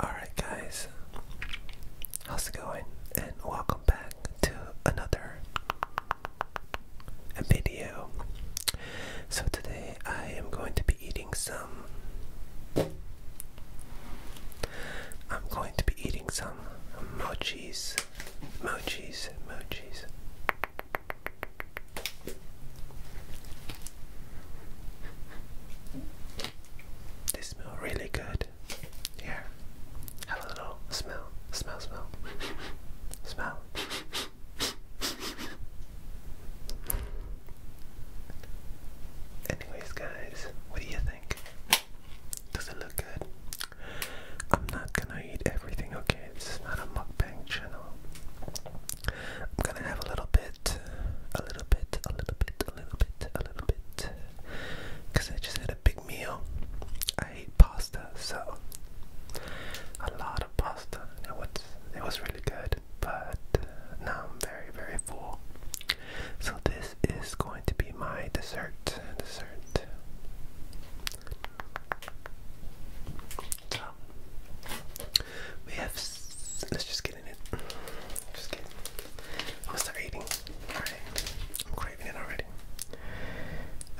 Alright guys, how's it going? And welcome back to another video. So today I am going to be eating some I'm going to be eating some mochis, mochis, mochis. They smell really good. Here, have a little smell, smell, smell, smell. Anyways, guys, what do you think? Does it look good? I'm not gonna eat everything, okay? This is not a mukbang channel. I'm gonna have a little bit a little bit, a little bit, a little bit, a little bit. Because I just had a big meal. I ate pasta, so a lot of pasta. It was, it was really good, but uh, now I'm very, very full. So this is going to be my dessert. Dessert. So we have. Let's just just kidding. I'm gonna start eating. Alright. I'm craving it already.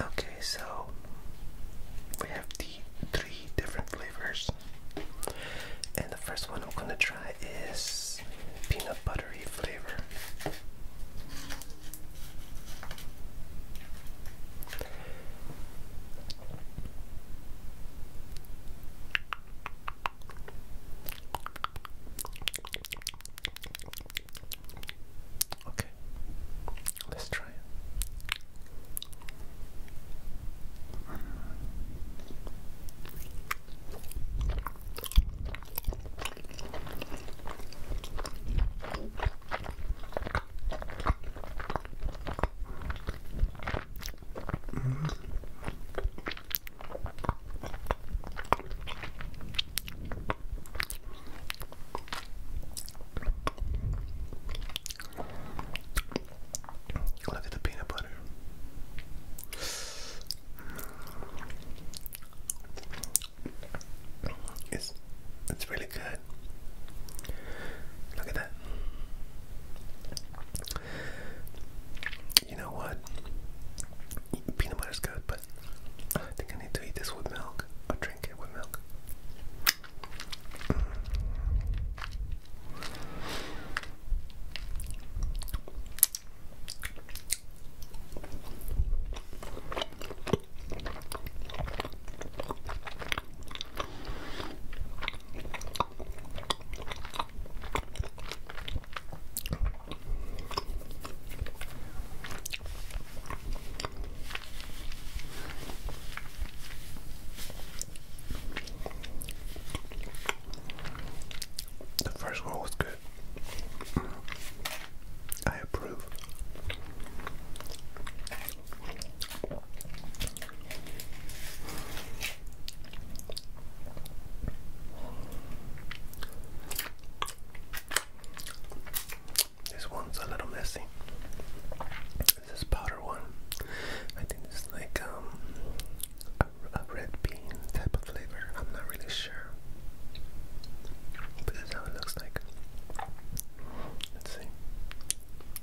Okay, so we have the three different flavors. And the first one I'm gonna try is peanut buttery flavor. Okay, let's try it. Look at the peanut butter. It's it's really good. Look at that. You know what? Peanut butter's good, but I think I need to eat this with milk or drink it with milk. The first one was good. I approve. This one's a little messy. This is powder one. I think it's like um, a, red bean type of flavor. I'm not really sure. But this how it looks like. Let's see.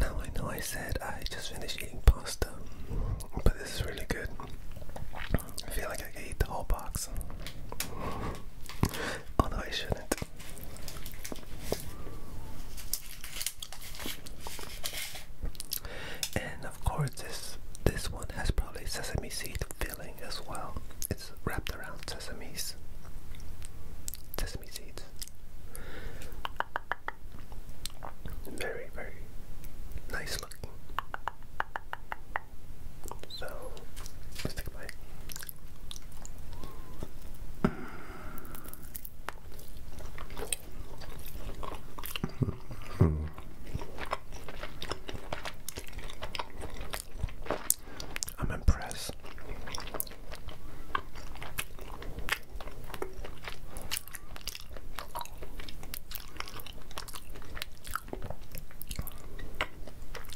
Now I know I said I just finished eating pasta, but this is really good. I feel like I could eat the whole box. Although I shouldn't. And of course this this one has probably sesame seed filling as well. It's wrapped around sesame's sesame seeds. Very, very nice looking. So let's I'm impressed.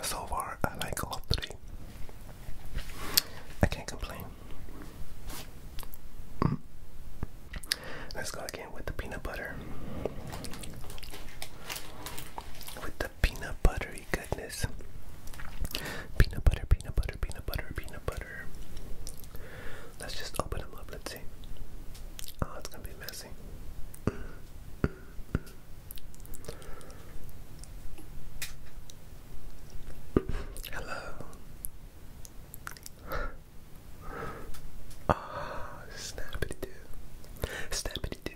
So far, I like all three. I can't complain. Let's go again with the peanut butter. With the peanut buttery goodness. Peanut butter, peanut butter, peanut butter, peanut butter. Let's just open them up. Let's see. Oh, it's gonna be messy. Mm, mm, mm. Hello. Ah, oh, snappity do. Snappity do.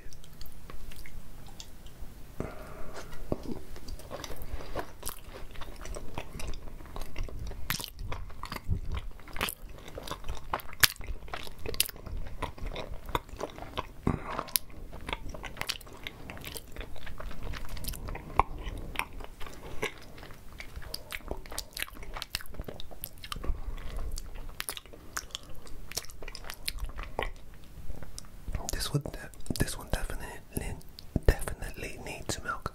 This one, this one definitely, definitely needs milk.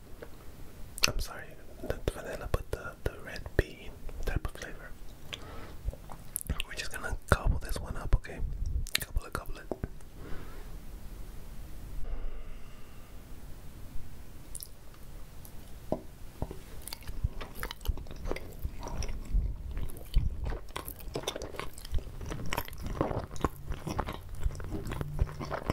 I'm sorry, not vanilla, but the, the red bean type of flavor. We're just gonna gobble this one up, okay? Gobble it, gobble it.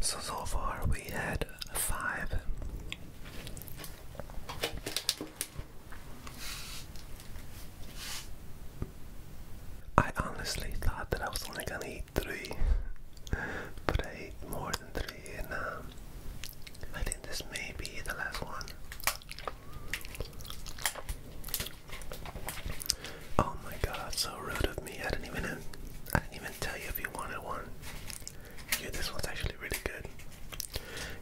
So, so far we had five. I honestly thought that I was only gonna eat three, but I ate more than three, and uh, um, I think this may be the last one. Oh my god, so rude of me. I didn't even I didn't even tell you if you wanted one. Yeah, this one's actually really good.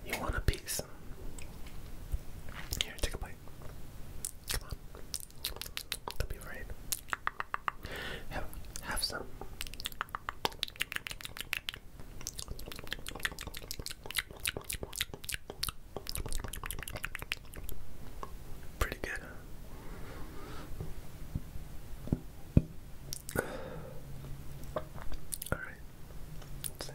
You want a piece? Here, take a bite. Come on. Don't be afraid. have some. Pretty good. All right. Let's see.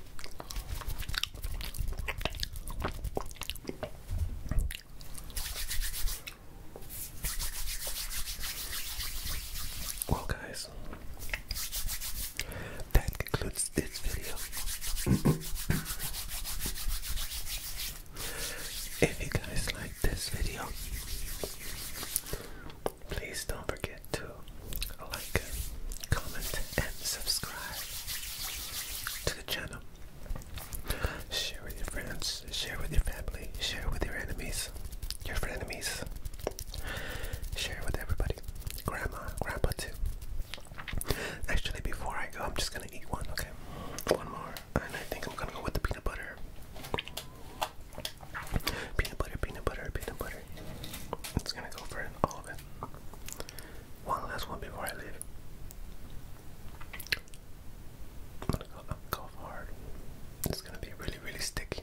Well, guys, that concludes this video. if you guys like this video, please don't forget forget to like, comment, and subscribe to the channel. Share with your friends, share with your family, share with your enemies, your frenemies. Share with everybody. Grandma, grandpa too. Actually, before I go, I'm just gonna eat one, okay? One more. And I think I'm gonna go with the peanut butter. Peanut butter, peanut butter, peanut butter. It's gonna go for all of it. One last one before I leave. i to go hard. It's gonna be really, really sticky.